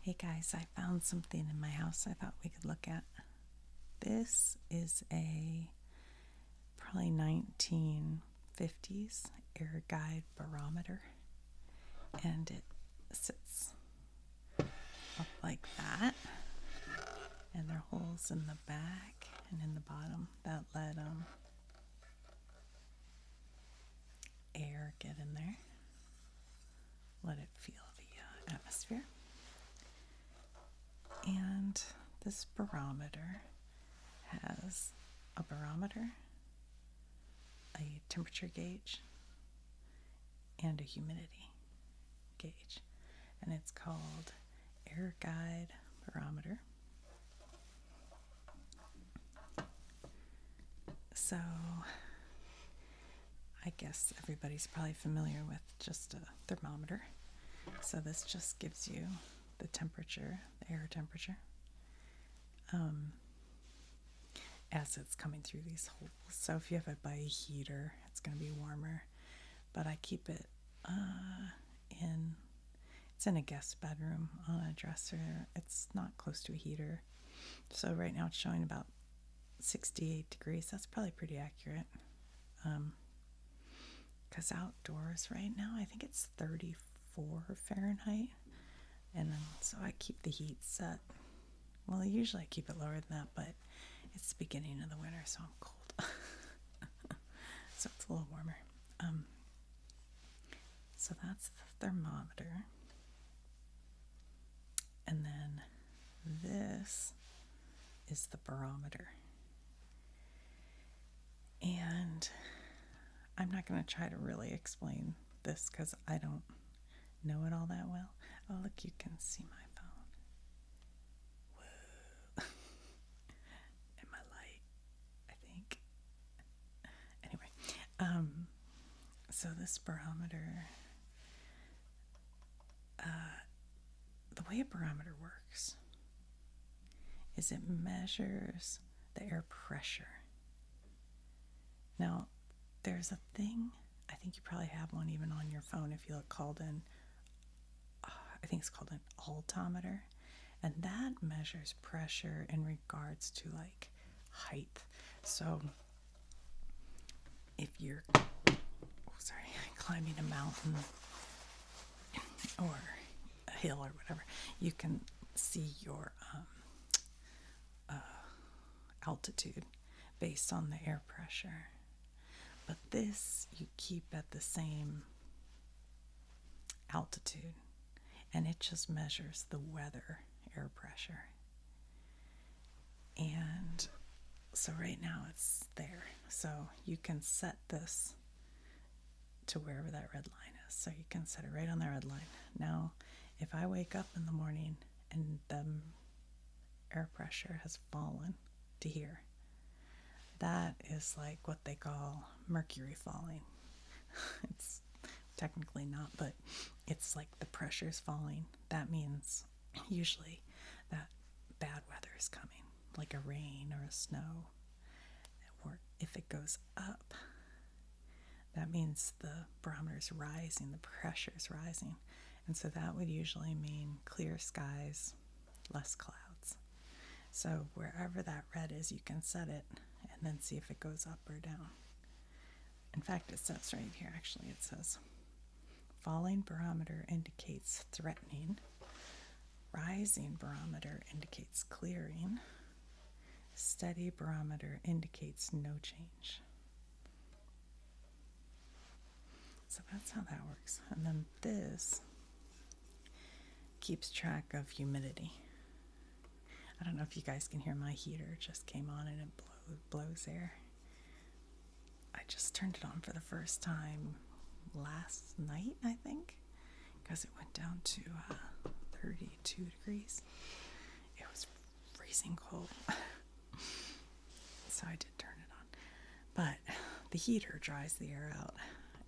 Hey guys, I found something in my house I thought we could look at. This is a probably 1950s air guide barometer, and it sits up like that. And there are holes in the back and in the bottom that let them. Um, air get in there. Let it feel the uh, atmosphere. And this barometer has a barometer, a temperature gauge, and a humidity gauge. And it's called Air Guide Barometer. So I guess everybody's probably familiar with just a thermometer. So this just gives you the temperature, the air temperature, um, as it's coming through these holes. So if you have it by a heater, it's going to be warmer. But I keep it uh, in it's in a guest bedroom on a dresser. It's not close to a heater. So right now it's showing about 68 degrees. That's probably pretty accurate. because um, outdoors right now, I think it's 34 Fahrenheit. And so I keep the heat set. Well, usually I keep it lower than that, but it's the beginning of the winter, so I'm cold. so it's a little warmer. Um, so that's the thermometer. And then this is the barometer. And I'm not going to try to really explain this because I don't know it all that well. Oh, look, you can see my phone. Whoa. and light. I think. Anyway, um, so this barometer, uh, the way a barometer works is it measures the air pressure. Now, there's a thing, I think you probably have one even on your phone if you look called in. Uh, I think it's called in altimeter, and that measures pressure in regards to like height. So if you're oh, sorry climbing a mountain or a hill or whatever, you can see your um, uh, altitude based on the air pressure. But this you keep at the same altitude and it just measures the weather air pressure. And so right now it's there. So you can set this to wherever that red line is. So you can set it right on that red line. Now, if I wake up in the morning and the air pressure has fallen to here, that is like what they call mercury falling. it's technically not, but it's like the pressure is falling. That means usually that bad weather is coming, like a rain or a snow. Or if it goes up, that means the barometer is rising, the pressure is rising. And so that would usually mean clear skies, less clouds. So wherever that red is, you can set it and then see if it goes up or down. In fact, it says right here, actually, it says, falling barometer indicates threatening, rising barometer indicates clearing, steady barometer indicates no change. So that's how that works. And then this keeps track of humidity. I don't know if you guys can hear my heater just came on and it blows air. I just turned it on for the first time last night, I think, because it went down to uh, 32 degrees. It was freezing cold. so I did turn it on. But the heater dries the air out,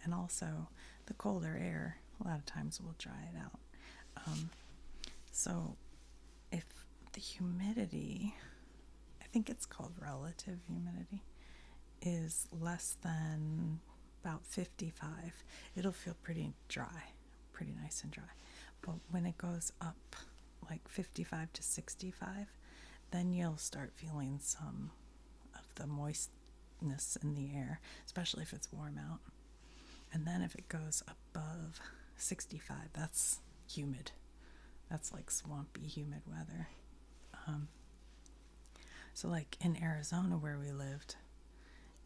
and also the colder air a lot of times will dry it out. Um, so, if the humidity, I think it's called relative humidity, is less than about 55, it'll feel pretty dry, pretty nice and dry. But when it goes up like 55 to 65, then you'll start feeling some of the moistness in the air, especially if it's warm out. And then if it goes above 65, that's humid. That's like swampy, humid weather. Um, so, like in Arizona where we lived,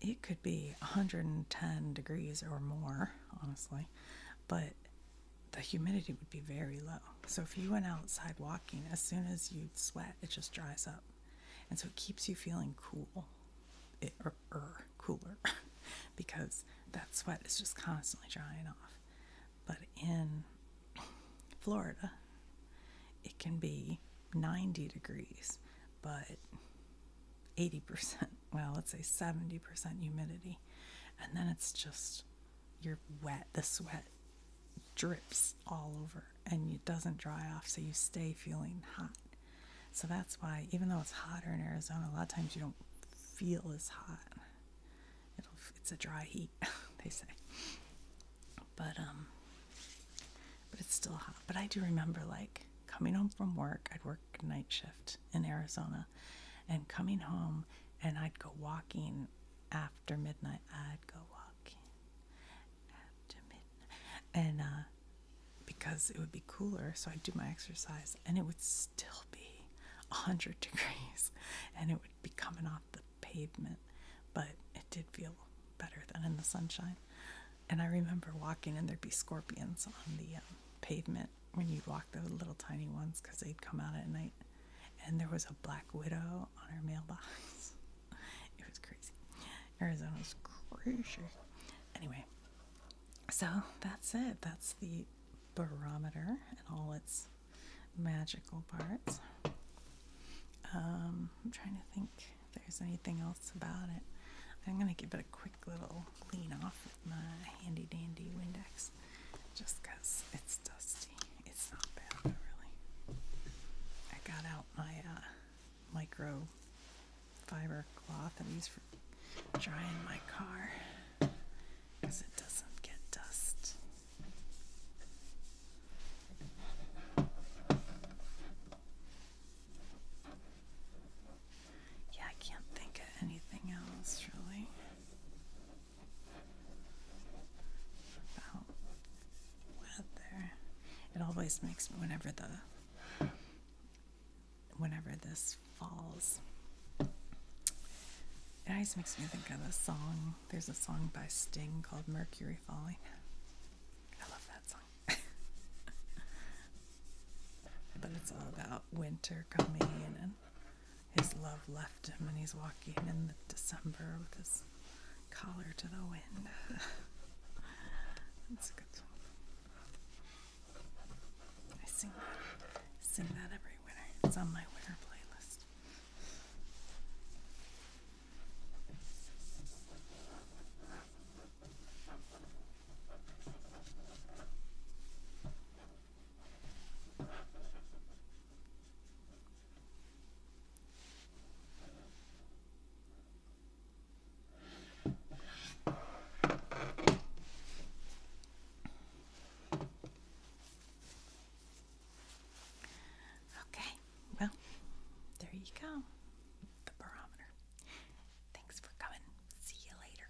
it could be 110 degrees or more, honestly, but the humidity would be very low. So, if you went outside walking, as soon as you sweat, it just dries up. And so it keeps you feeling cool, er, cooler, because that sweat is just constantly drying off. But in Florida, it can be 90 degrees, but 80%, well, let's say 70% humidity. And then it's just, you're wet. The sweat drips all over and it doesn't dry off, so you stay feeling hot. So that's why, even though it's hotter in Arizona, a lot of times you don't feel as hot. it's a dry heat, they say. But um, but it's still hot. But I do remember like coming home from work. I'd work night shift in Arizona, and coming home, and I'd go walking after midnight, I'd go walking after midnight, and uh, because it would be cooler, so I'd do my exercise, and it would still be a hundred degrees, and it would be coming off the pavement, but it did feel better than in the sunshine. And I remember walking, and there'd be scorpions on the um, pavement when you'd walk the little tiny ones because they'd come out at night and there was a black widow on her mailbox. it was crazy. Arizona's crazy. Anyway, so that's it. That's the barometer and all its magical parts. Um, I'm trying to think if there's anything else about it. I'm going to give it a quick little clean off with my handy dandy Windex just because it's dusty. It's not bad really. I got out my uh, micro fiber cloth I use for drying my car because it doesn't get dust. Yeah, I can't think of anything else really about weather. It always makes me whenever the whenever this falls. It always makes me think of a song. There's a song by Sting called Mercury Falling. I love that song. but it's all about winter coming and his love left him, and he's walking in December with his collar to the wind. That's a good song. I sing that, sing that every winter. It's on my winter playlist. Okay, well, there you go. The barometer. Thanks for coming. See you later.